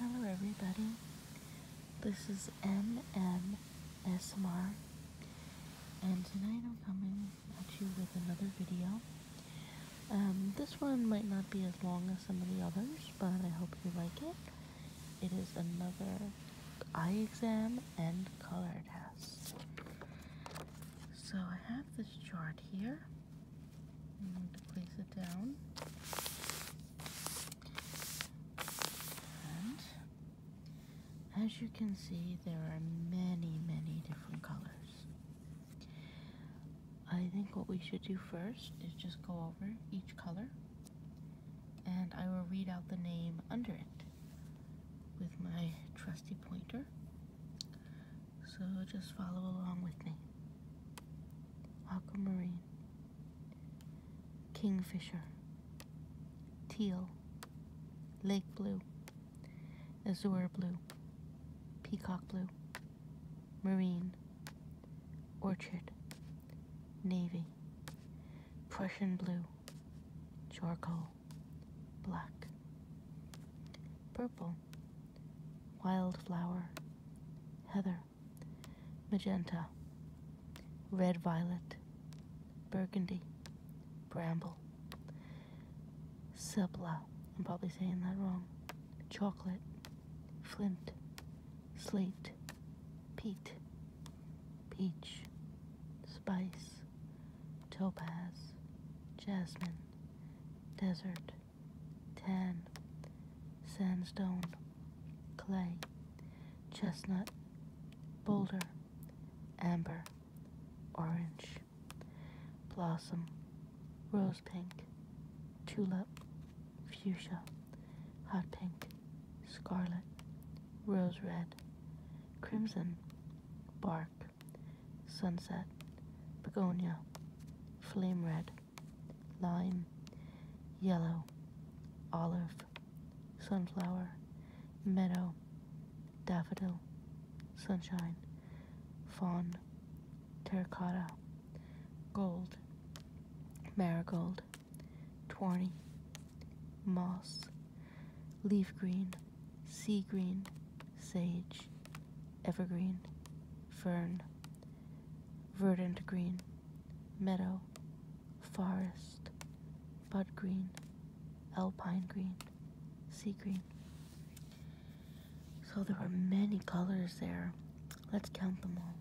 Hello, everybody. This is MMSMR, and tonight I'm coming at you with another video. Um, this one might not be as long as some of the others, but I hope you like it. It is another eye exam and color test. So I have this chart here and place it down. And as you can see, there are many, many different colors. I think what we should do first is just go over each color and I will read out the name under it with my trusty pointer. So just follow along with me. Aquamarine, Kingfisher, Teal, Lake Blue, Azure Blue, Peacock Blue, Marine, Orchard, Navy, Prussian Blue, Charcoal, Black, Purple, wildflower, heather, magenta, red violet, burgundy, bramble, subla, I'm probably saying that wrong, chocolate, flint, slate, peat, peach, spice, topaz, jasmine, desert, tan, sandstone, clay, chestnut, boulder, amber, orange, blossom, rose pink, tulip, fuchsia, hot pink, scarlet, rose red, crimson, bark, sunset, begonia, flame red, lime, yellow, olive, sunflower, meadow, daffodil, sunshine, fawn, terracotta, gold, marigold, tawny, moss, leaf green, sea green, sage, evergreen, fern, verdant green, meadow, forest, bud green, alpine green, sea green. So there were many colors there. Let's count them all.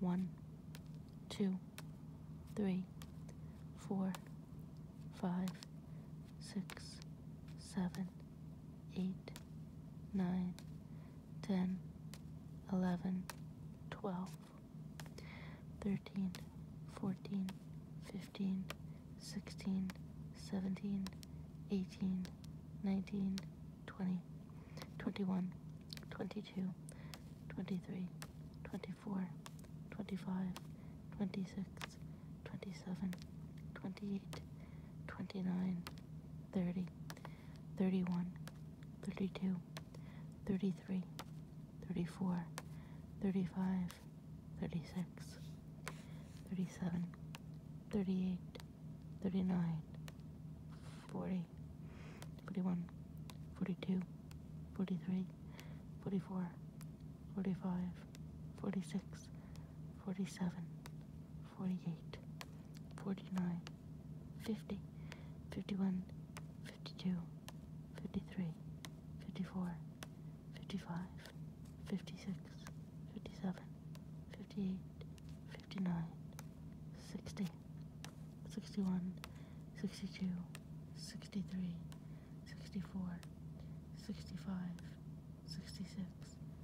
One, two, three, four, five, six, seven, eight, nine, ten, eleven, twelve, thirteen, fourteen, fifteen, sixteen, seventeen, eighteen, nineteen, twenty, twenty-one, twenty-two, twenty-three, twenty-four, twenty-five, twenty-six. 27, 28, 29, 30, 31, 32, 33, 34, 35, 36, 37, 38, 39, 40, 41, 42, 43, 44, 45, 46, 47, 48, 49, 50, 51, 52, 53, 54, 55, 56, 57, 58, 59, 60, 61, 62, 63, 64, 65, 66,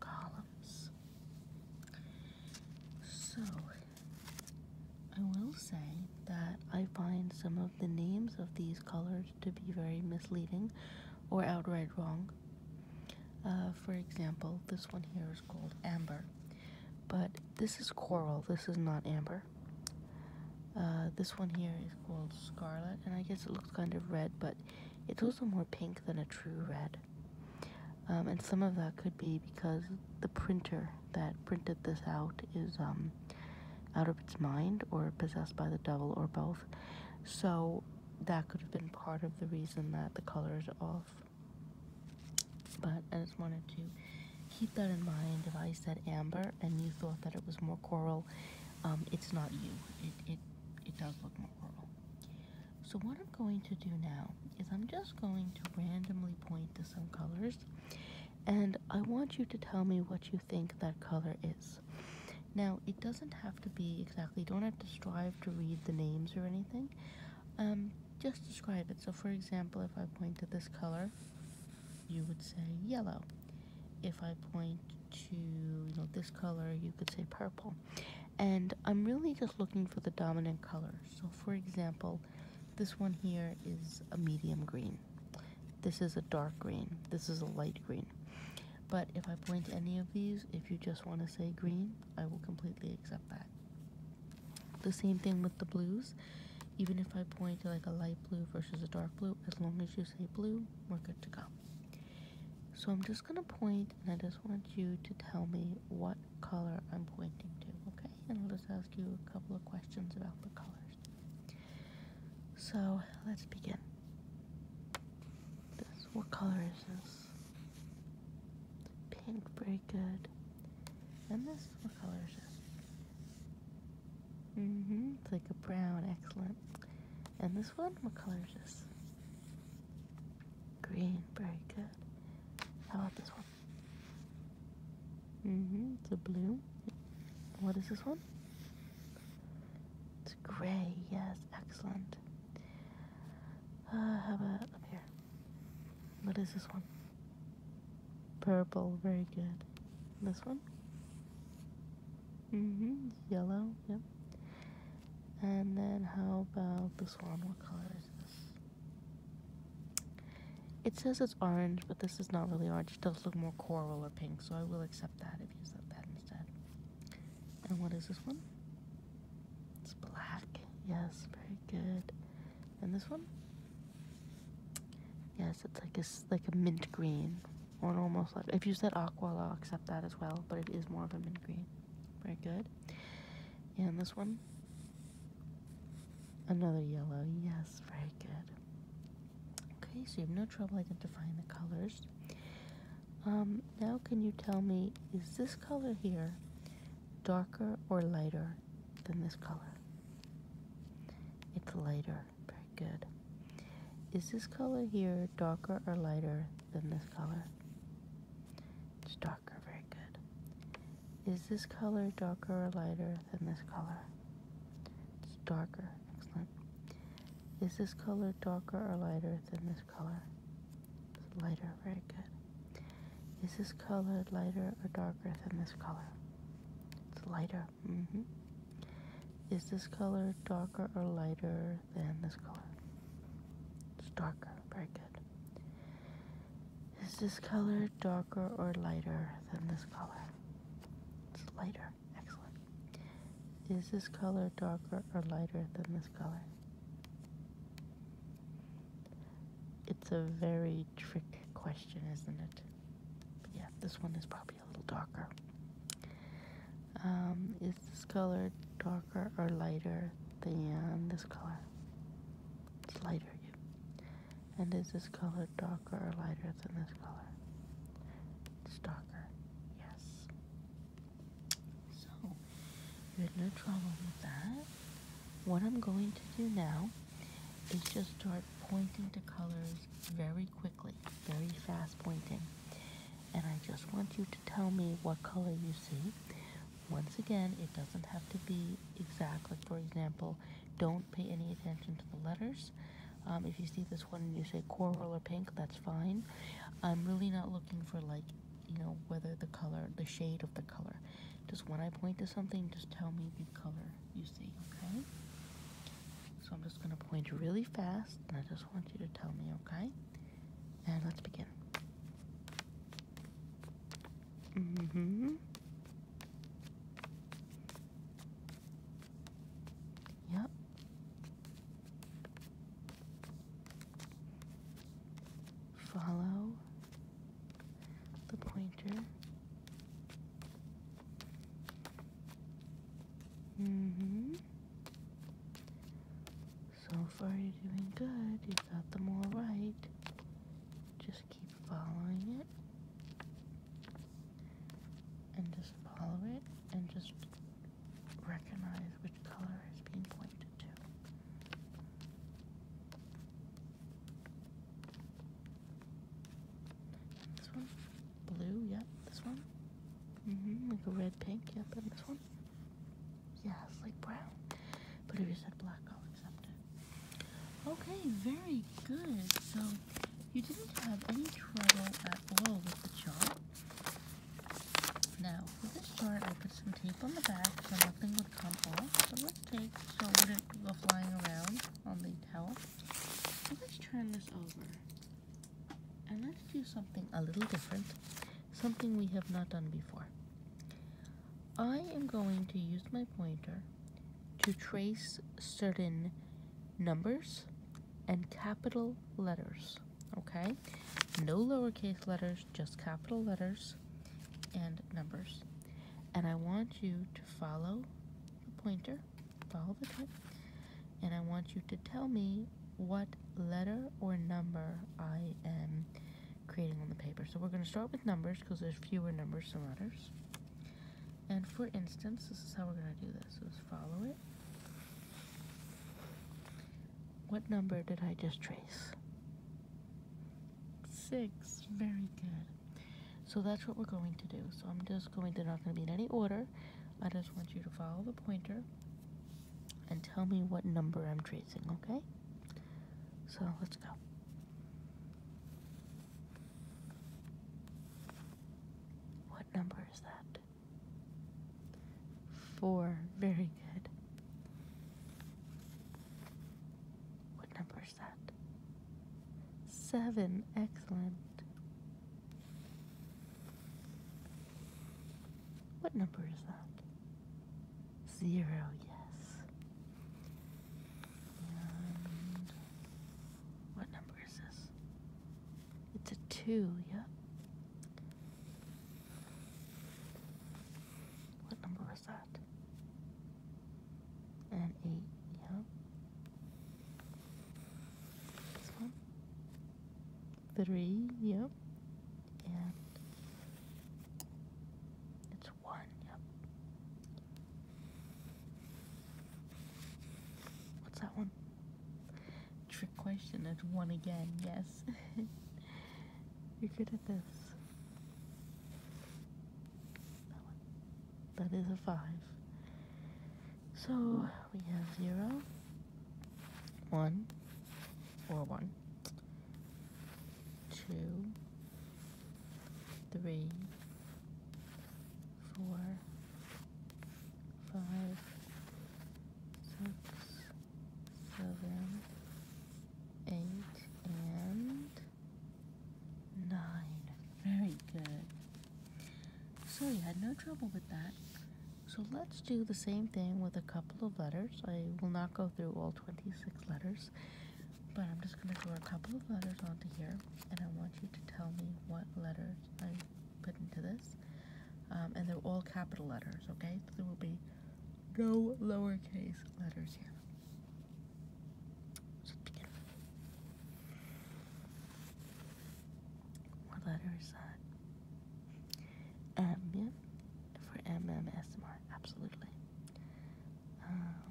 columns. So, I will say that I find some of the names of these colors to be very misleading or outright wrong. Uh, for example, this one here is called amber, but this is coral, this is not amber. Uh, this one here is called scarlet, and I guess it looks kind of red, but it's also more pink than a true red. Um, and some of that could be because the printer that printed this out is um, out of its mind or possessed by the devil or both. So that could have been part of the reason that the color is off. But I just wanted to keep that in mind. If I said amber and you thought that it was more coral, um, it's not you. It, it, it does look more coral. So what I'm going to do now is I'm just going to randomly point to some colors and I want you to tell me what you think that color is. Now, it doesn't have to be exactly, don't have to strive to read the names or anything. Um, just describe it. So for example, if I point to this color, you would say yellow. If I point to you know this color, you could say purple and I'm really just looking for the dominant color. So, for example, this one here is a medium green, this is a dark green, this is a light green. But if I point any of these, if you just want to say green, I will completely accept that. The same thing with the blues. Even if I point to like a light blue versus a dark blue, as long as you say blue, we're good to go. So I'm just gonna point and I just want you to tell me what color I'm pointing to, okay? And I'll just ask you a couple of questions about the colors. So let's begin. This what color is this? Pink, very good. And this what color is this? hmm It's like a brown, excellent. And this one, what color is this? Green, very good. How about this one? Mm-hmm, it's a blue. What is this one? It's gray, yes, excellent. Uh, how about up here? What is this one? Purple, very good. This one? Mm-hmm, yellow, yep. And then how about this one? What color is this? It says it's orange, but this is not really orange. It does look more coral or pink, so I will accept that if you said that instead. And what is this one? It's black. Yes, very good. And this one? Yes, it's like a, like a mint green or almost like. If you said aqua, I'll accept that as well, but it is more of a mint green. Very good. And this one, another yellow. Yes, very good. Okay, so you have no trouble identifying the colors. Um, now, can you tell me, is this color here darker or lighter than this color? It's lighter. Very good. Is this color here darker or lighter than this color. It's darker, very good. Is this color darker or lighter than this color? It's darker, excellent. Is this color darker or lighter than this color? lighter, very good. Is this color lighter or darker than this color? It's lighter, mm hmm Is this color darker or lighter than this color? It's darker, very good. Is this color darker or lighter than this color? It's lighter. Excellent. Is this color darker or lighter than this color? It's a very trick question, isn't it? yeah, this one is probably a little darker. Um, is this color darker? or lighter than this color? It's lighter, yeah. And is this color darker or lighter than this color? It's darker, yes. So, you had no trouble with that. What I'm going to do now is just start pointing to colors very quickly, very fast pointing. And I just want you to tell me what color you see. Once again, it doesn't have to be exact. Like, for example, don't pay any attention to the letters. Um, if you see this one and you say coral or pink, that's fine. I'm really not looking for, like, you know, whether the color, the shade of the color. Just when I point to something, just tell me the color you see, okay? So I'm just going to point really fast, and I just want you to tell me, okay? And let's begin. Mm-hmm. Yep. Follow the pointer. Mm-hmm. So far you're doing good. You got them all right. Just keep following it. And just follow it and just recognize which color is being pointed to. this one? Blue, yep, this one. Mm-hmm, like a red pink, yep, and this one. Yeah, it's like brown. But if you said black, I'll accept it. Okay, very good. So you didn't have any trouble at all with the chart. Now, for this chart, I put some tape on the back so nothing would come off. So let's take so it wouldn't go flying around on the towel. let's turn this over. And let's do something a little different something we have not done before. I am going to use my pointer to trace certain numbers and capital letters, okay? No lowercase letters, just capital letters and numbers. And I want you to follow the pointer, follow the type, and I want you to tell me what letter or number I am creating on the paper. So we're going to start with numbers because there's fewer numbers than letters. And for instance, this is how we're going to do this. So just follow it. What number did I just trace? Six. Very good. So that's what we're going to do. So I'm just going, they're not going to be in any order. I just want you to follow the pointer and tell me what number I'm tracing, okay? So let's go. What number is that? Four. Very good. What number is that? Seven. Excellent. What number is that? Zero, yes. And what number is this? It's a two, yep. What number was that? And eight, yep. This one? Three, yep and it's one, yep. What's that one? Trick question, it's one again, yes. You're good at this. That one. That is a five. So we have zero, one, or one, two, three, four, five, six, seven, eight, and nine. Very good. So you had no trouble with that. So let's do the same thing with a couple of letters. I will not go through all 26 letters, but I'm just going to draw a couple of letters onto here, and I want you to tell me what letters I put into this. Um, and they're all capital letters, okay? So there will be no lowercase letters here. So begin. What letter is that? M, for MMSR, absolutely. Um,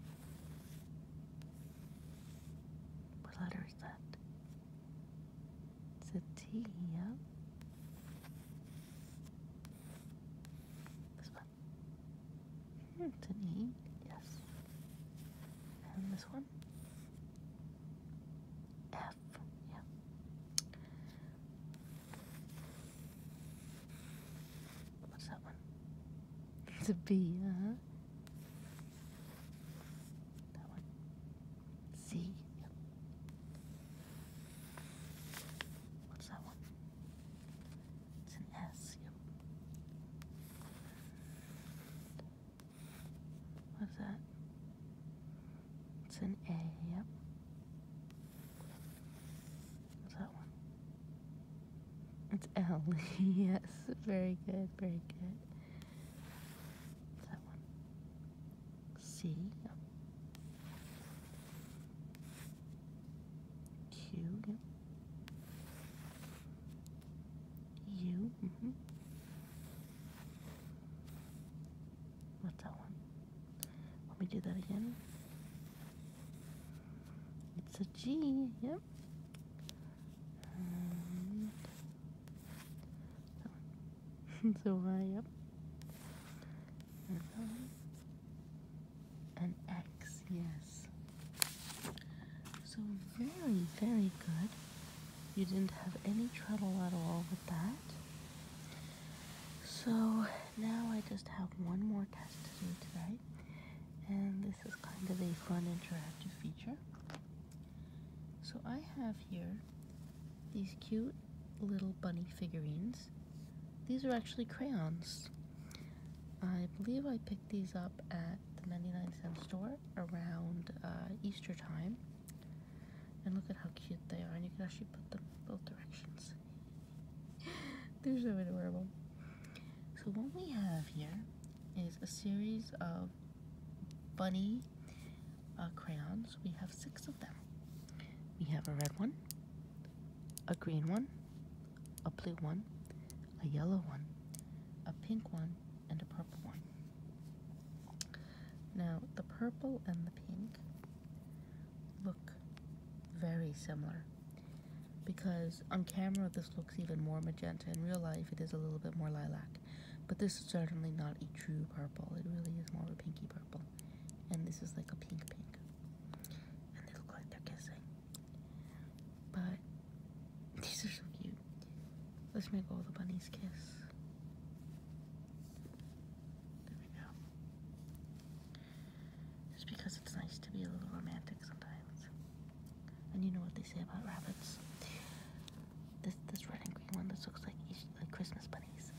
what letter is that? It's a T, yeah? This one. Hmm, yes. And this one? F, yeah. What's that one? It's a B, uh huh. That one. C. Yep. What's that one? It's an S. Yep. What's that? It's an A. Yep. What's that one? It's L. yes, very good, very good. What's that one? C. Mm-hmm. What's that one? Let me do that again. It's a G, yep. so yep. An X, yes. So very, very good. You didn't have any trouble at all with that. So now I just have one more test to do today, And this is kind of a fun interactive feature. So I have here these cute little bunny figurines. These are actually crayons. I believe I picked these up at the 99 cent store around uh, Easter time. And look at how cute they are, and you can actually put them both directions. They're so adorable. So what we have here is a series of bunny uh, crayons. We have six of them. We have a red one, a green one, a blue one, a yellow one, a pink one, and a purple one. Now, the purple and the pink look very similar because on camera this looks even more magenta in real life it is a little bit more lilac but this is certainly not a true purple it really is more of a pinky purple and this is like a pink pink and they look like they're kissing but these are so cute let's make all the bunnies kiss there we go just because it's nice to be a little romantic sometimes. And you know what they say about rabbits. This this red and green one this looks like like Christmas bunnies.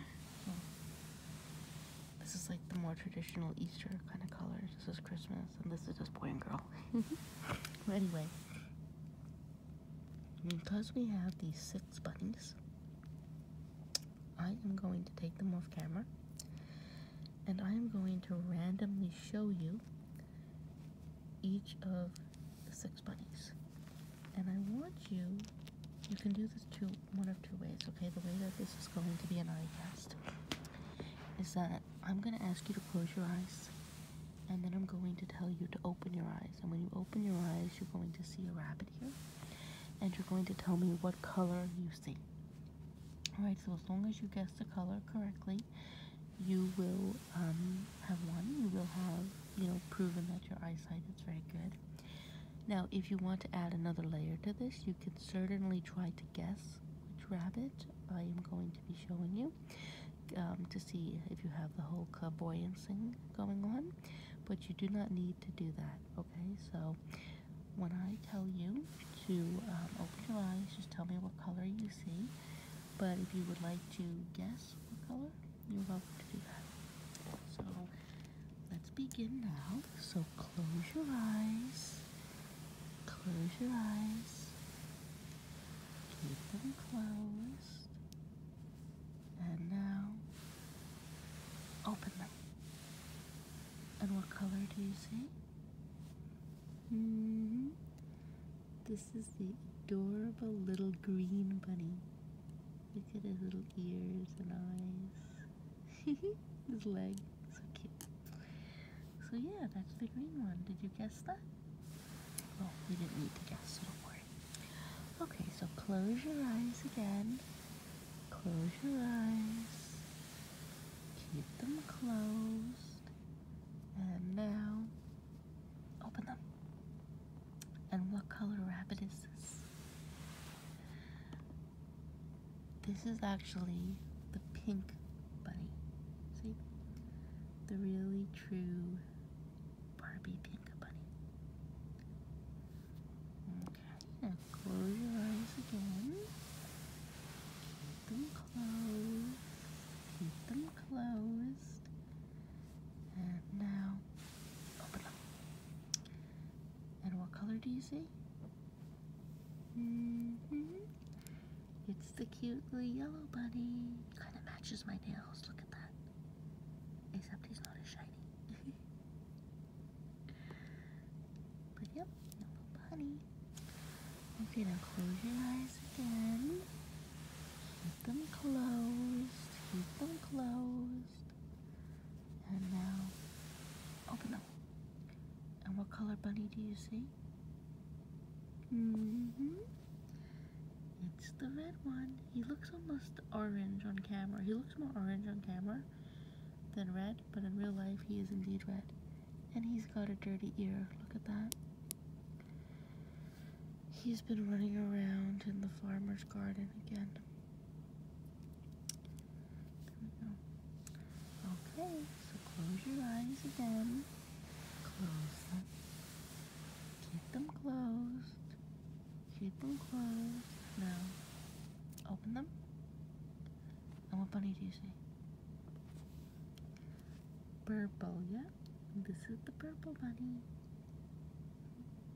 this is like the more traditional Easter kind of colors. This is Christmas and this is just boy and girl. well, mm-hmm. anyway. Because we have these six bunnies, I am going to take them off camera and I am going to randomly show you each of the six bunnies. And I want you, you can do this two, one of two ways, okay? The way that this is going to be an eye test is that I'm going to ask you to close your eyes and then I'm going to tell you to open your eyes. And when you open your eyes, you're going to see a rabbit here and you're going to tell me what color you see. Alright, so as long as you guess the color correctly, you will um, have one. You will have, you know, proven that your eyesight is very good. Now, if you want to add another layer to this, you can certainly try to guess which rabbit I am going to be showing you um, to see if you have the whole clairvoyance thing going on. But you do not need to do that, okay? So when I tell you to um, open your eyes, just tell me what color you see. But if you would like to guess what color, you're welcome to do that. So let's begin now. So close your eyes. Close your eyes. Keep them closed. And now open them. And what color do you see? Mm-hmm. This is the adorable little green bunny. Look at his little ears and eyes. his leg. So cute. So yeah, that's the green one. Did you guess that? Well, you didn't need to guess, Okay, so close your eyes again. Close your eyes. Keep them closed. And now open them. And what color rabbit is this? This is actually the pink bunny. See? The really true Barbie pink bunny. Hmm close your eyes again. Keep them closed. Keep them closed. And now open them. And what color do you see? Mm-hmm. It's the cute little yellow bunny. Kind of matches my nails. Look at that. Except he's not as shiny but yep, no little bunny. Okay, now close your eyes again. Keep them closed. Keep them closed. And now open them. And what color bunny do you see? Mm-hmm. It's the red one. He looks almost orange on camera. He looks more orange on camera than red but in real life he is indeed red. And he's got a dirty ear. Look at that. He's been running around in the farmer's garden again. Okay, so close your eyes again. Close them. Keep them closed. Keep them closed. Now, open them. And what bunny do you see? Purple, yeah? This is the purple bunny.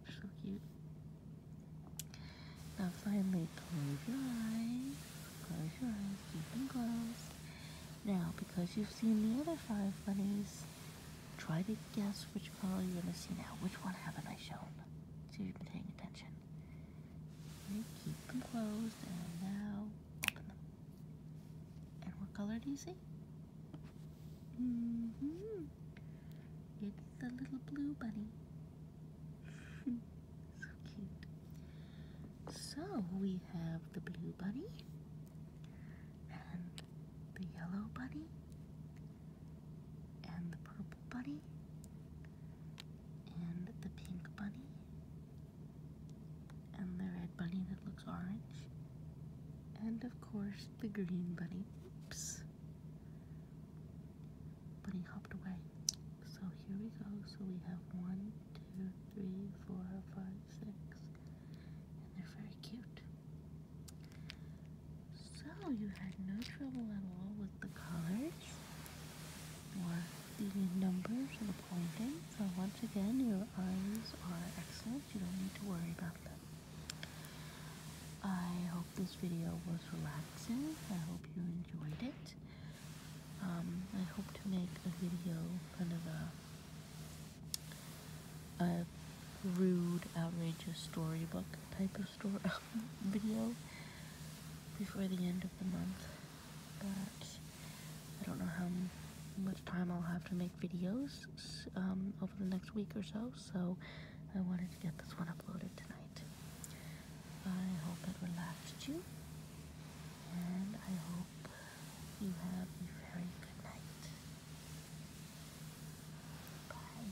So cute. Now finally close your eyes. Close your eyes. Keep them closed. Now because you've seen the other five bunnies, try to guess which color you're gonna see now. Which one haven't I shown? See if you've been paying attention keep them closed and now open them. And what color do you see? Mm hmm It's the little blue bunny. so cute. So we have the blue bunny and the yellow bunny and the purple bunny and the pink bunny, and the red bunny that looks orange, and of course the green bunny. Oops! Bunny hopped away. So here we go. So we have one, two, three, four, five, six, and they're very cute. So you had no trouble at all with the colors for the numbers and pointing. So once again, your eyes are excellent. You don't need to worry about them. I hope this video was relaxing. I hope you enjoyed it. Um, I hope to make a video kind of a a rude, outrageous storybook type of story, video before the end of the month, but I don't know how much time I'll have to make videos um, over the next week or so, so I wanted to get this one uploaded tonight. I hope it relaxed you, and I hope you have a very good night. Bye.